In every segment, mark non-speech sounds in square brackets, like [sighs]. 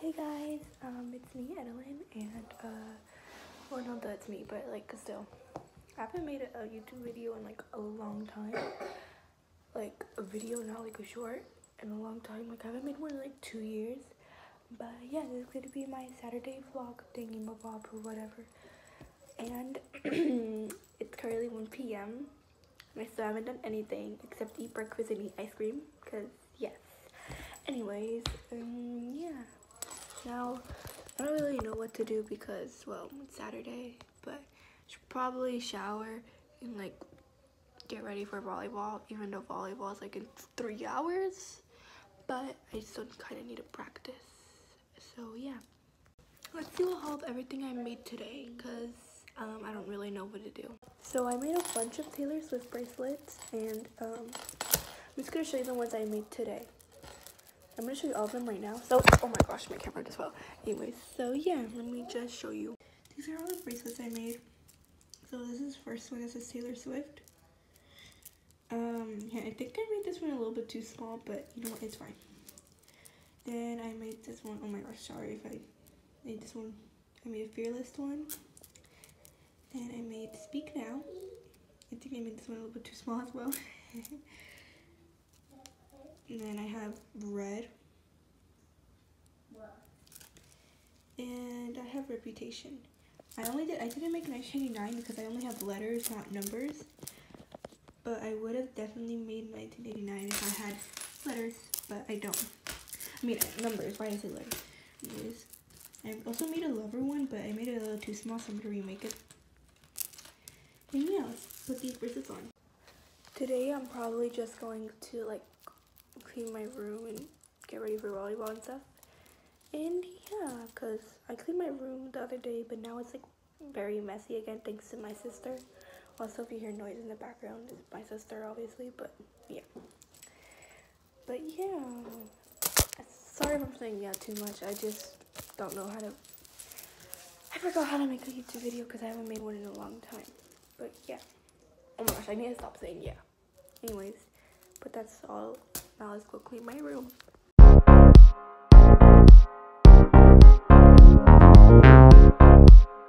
Hey guys, um, it's me, Edelyn, and uh, well, not that it's me, but like still, I haven't made a, YouTube video in like a long time, like a video, not like a short, in a long time. Like I haven't made one in like two years, but yeah, this is gonna be my Saturday vlog thingy, my or whatever. And [clears throat] it's currently 1 p.m. I still haven't done anything except eat breakfast and eat ice cream because yes. Anyways, um, yeah. Now, I don't really know what to do because, well, it's Saturday, but should probably shower and, like, get ready for volleyball, even though volleyball is, like, in three hours. But I still kind of need to practice. So, yeah. Let's see what haul everything I made today because um, I don't really know what to do. So I made a bunch of Taylor Swift bracelets and um, I'm just going to show you the ones I made today. I'm going to show you all of them right now. So, oh my gosh, my camera just fell. Anyways, so yeah, let me just show you. These are all the bracelets I made. So this is first one. It's a Taylor Swift. Um, yeah, I think I made this one a little bit too small, but you know what, it's fine. Then I made this one. Oh my gosh, sorry if I made this one I made a Fearless one. and I made Speak Now. I think I made this one a little bit too small as well. [laughs] and then I have Red. And I have Reputation. I only did, I didn't make 1989 because I only have letters, not numbers. But I would have definitely made 1989 if I had letters, but I don't. I mean, numbers. Why did I say letters? I also made a lover one, but I made it a little too small, so I'm going to remake it. And yeah, put these bracelets on. Today, I'm probably just going to, like, clean my room and get ready for volleyball and stuff. And yeah, because I cleaned my room the other day, but now it's, like, very messy again, thanks to my sister. Also, if you hear noise in the background, it's my sister, obviously, but yeah. But yeah, sorry for saying yeah too much. I just don't know how to. I forgot how to make a YouTube video because I haven't made one in a long time. But yeah. Oh my gosh, I need to stop saying yeah. Anyways, but that's all. Now let's go clean my room.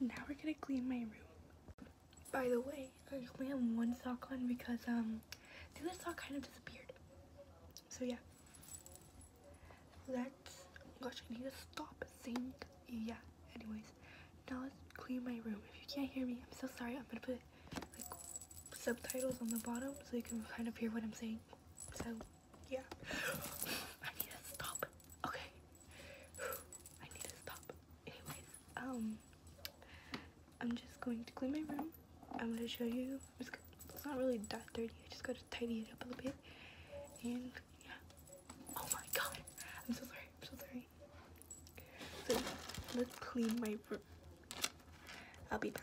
Now we're gonna clean my room. By the way, I only have one sock on because um the other sock kind of disappeared. So yeah. Let's gosh I need to stop saying yeah. Anyways, now let's clean my room. If you can't hear me, I'm so sorry. I'm gonna put like subtitles on the bottom so you can kind of hear what I'm saying. So yeah. I need to stop. Okay. [sighs] I need to stop. Anyways, um I'm just going to clean my room. I'm gonna show you it's, it's not really that dirty, I just gotta tidy it up a little bit. And yeah. Oh my god. I'm so sorry, I'm so sorry. So let's clean my room. I'll be back.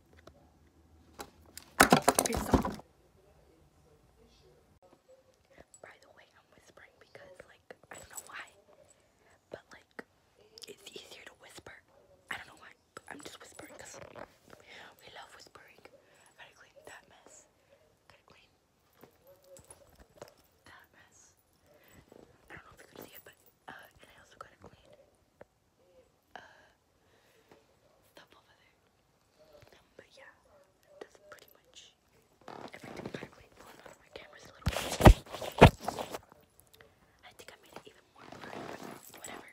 It's By the way, I'm whispering because, like, I don't know why, but, like, it's easier to whisper. I don't know why, but I'm just whispering because we love whispering. Gotta clean that mess. Gotta clean that mess. I don't know if you can see it, but, uh, and I also gotta clean uh, up but yeah, that's pretty much everything backlit. Well, not my camera's a I think I made it even more bright, whatever.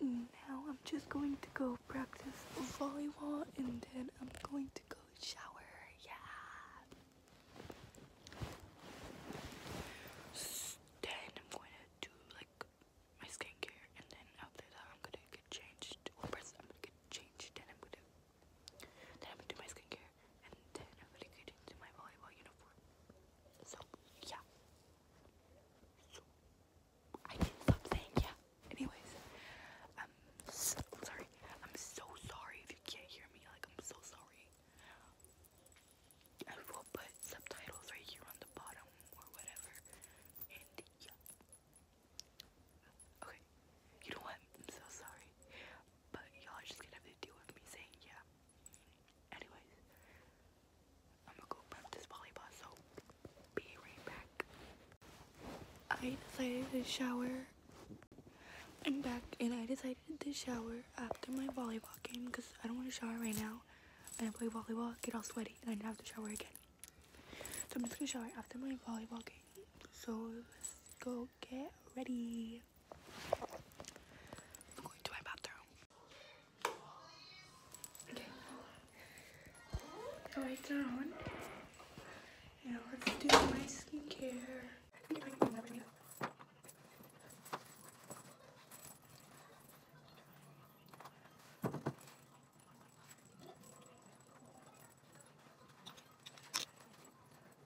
Now I'm just going to go practice volleyball and then I'm going to go shower. I'm gonna get changed. Well, first I'm gonna get changed, then I'm gonna then I'm gonna do my skincare, and then I'm gonna get into my volleyball uniform. So yeah. So I can't yeah. Anyways, i sorry. I'm so sorry if you can't hear me. Like I'm so sorry. I will put subtitles right here on the bottom or whatever. And yeah. Okay. You know what? I'm so sorry but y'all are just gonna have to deal with me saying yeah. Anyways, I'm gonna go prep volleyball, so be right back. I decided to shower. I'm back, and I decided to shower after my volleyball game because I don't want to shower right now. And I play volleyball, get all sweaty, and I have to shower again. So I'm just gonna shower after my volleyball game. So go so get ready. I'm going to my bathroom. Okay. The lights on. Now let's do my skincare.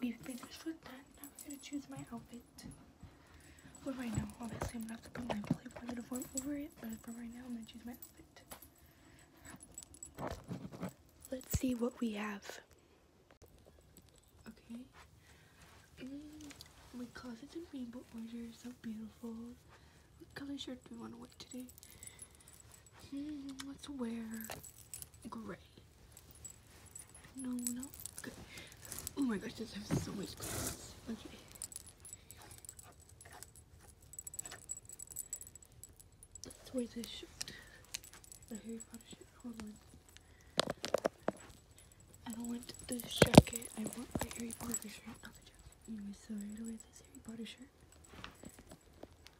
We have finished with that. Now we're gonna choose my outfit. For right now, obviously I'm gonna have to put my playboy uniform over it, but for right now I'm gonna choose my outfit. Let's see what we have. Okay. Mm, my closet's in rainbow order, so beautiful. What color shirt do we want to wear today? Hmm, let's wear gray. No, no. Good. Oh my gosh, this has so many clothes. Okay. Let's wear this shirt. The Harry Potter shirt. Hold on. I don't want this jacket. I want my Harry Potter shirt, not the Anyway, so I'm gonna wear this Harry Potter shirt.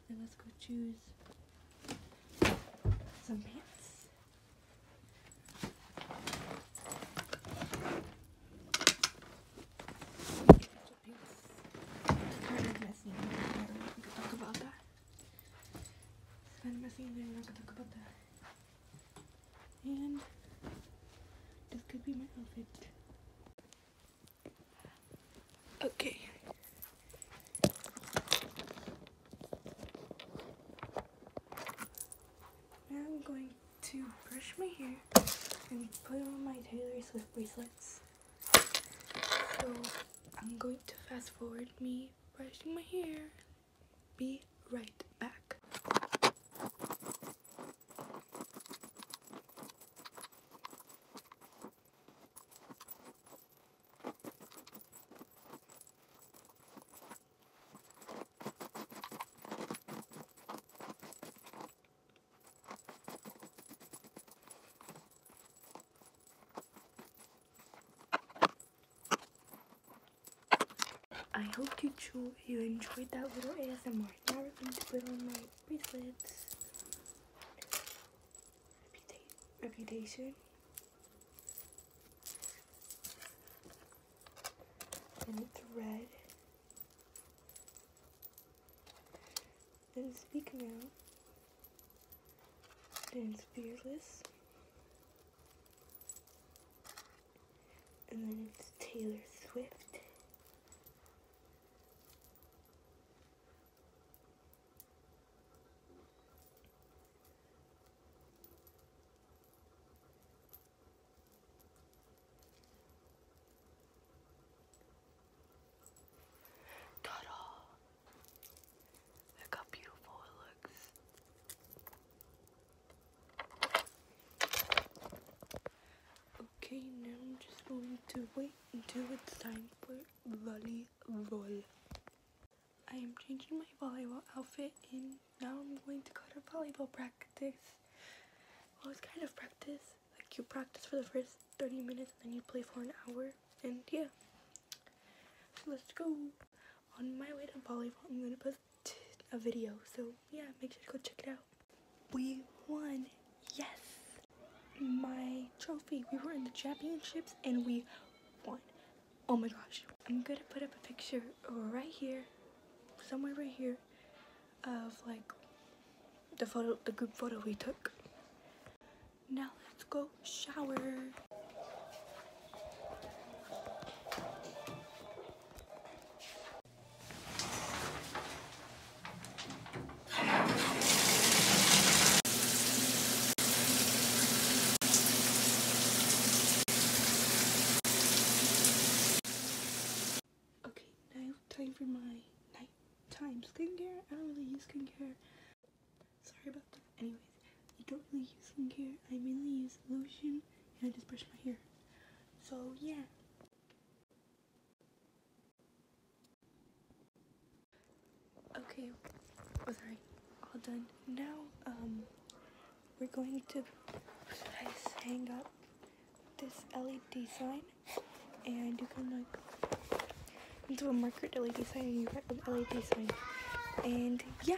And let's go choose some pants. Kind of messy. we could talk about that. Sen messenger na katakapata. And this could be my outfit. Okay. Now I'm going to brush my hair and put on my Taylor Swift bracelets. So I'm going to fast forward me brushing my hair. Be right back. I hope you, you enjoyed that little ASMR. Now we're going to put on my bracelets. Reputa reputation. And it's red and speak now and fearless and then it's Taylor Swift Cut off. Look how beautiful it looks. Okay, now I'm just going to wait until it's time for volleyball. I am changing my volleyball outfit and now I'm going to go to volleyball practice. Well, it's kind of practice. Like you practice for the first 30 minutes and then you play for an hour and yeah, let's go. On my way to volleyball, I'm gonna post a video, so yeah, make sure to go check it out. We won, yes! My trophy, we were in the championships and we won. Oh my gosh. I'm gonna put up a picture right here, somewhere right here, of like the photo, the group photo we took. Now let's go shower. time for my nighttime skincare. I don't really use skincare Sorry about that. Anyways, I don't really use skincare. I mainly use lotion and I just brush my hair. So yeah. Okay, oh, sorry, all done. Now, um, we're going to hang up this LED sign and you can like do a marker to LED sign and you write an LED sign. And yeah.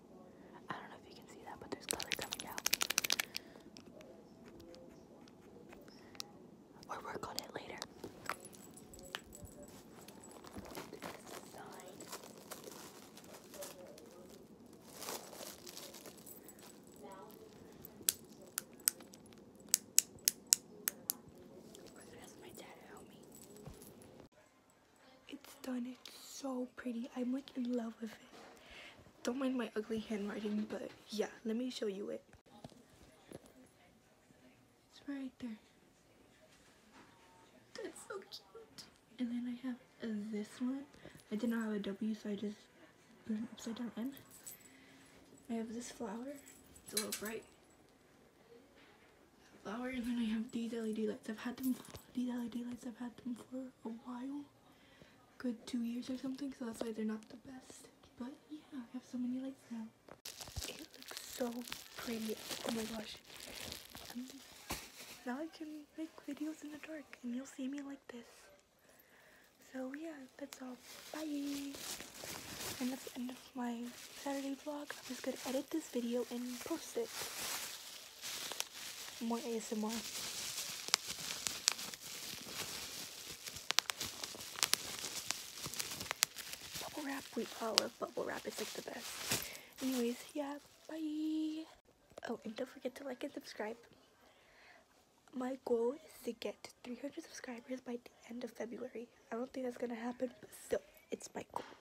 I don't know if you can see that, but there's color coming out. Or work on it later. Sign. Of course, it has my dad help me. It's done. It's so pretty. I'm like in love with it. Don't mind my ugly handwriting, but yeah, let me show you it. It's right there. That's so cute. And then I have this one. I did not have a W, so I just put an upside down N. I have this flower. It's a little bright. Flower, and then I have these LED lights. I've had them. These LED lights. I've had them for a while good two years or something, so that's why they're not the best. But yeah, I have so many lights now. It looks so pretty. Oh my gosh. Mm. now I can make videos in the dark and you'll see me like this. So yeah, that's all. Bye! And that's the end of my Saturday vlog. I'm just gonna edit this video and post it. More ASMR. wrap. We all love bubble wrap. It's like the best. Anyways, yeah, bye. Oh, and don't forget to like and subscribe. My goal is to get 300 subscribers by the end of February. I don't think that's gonna happen, but still, it's my goal.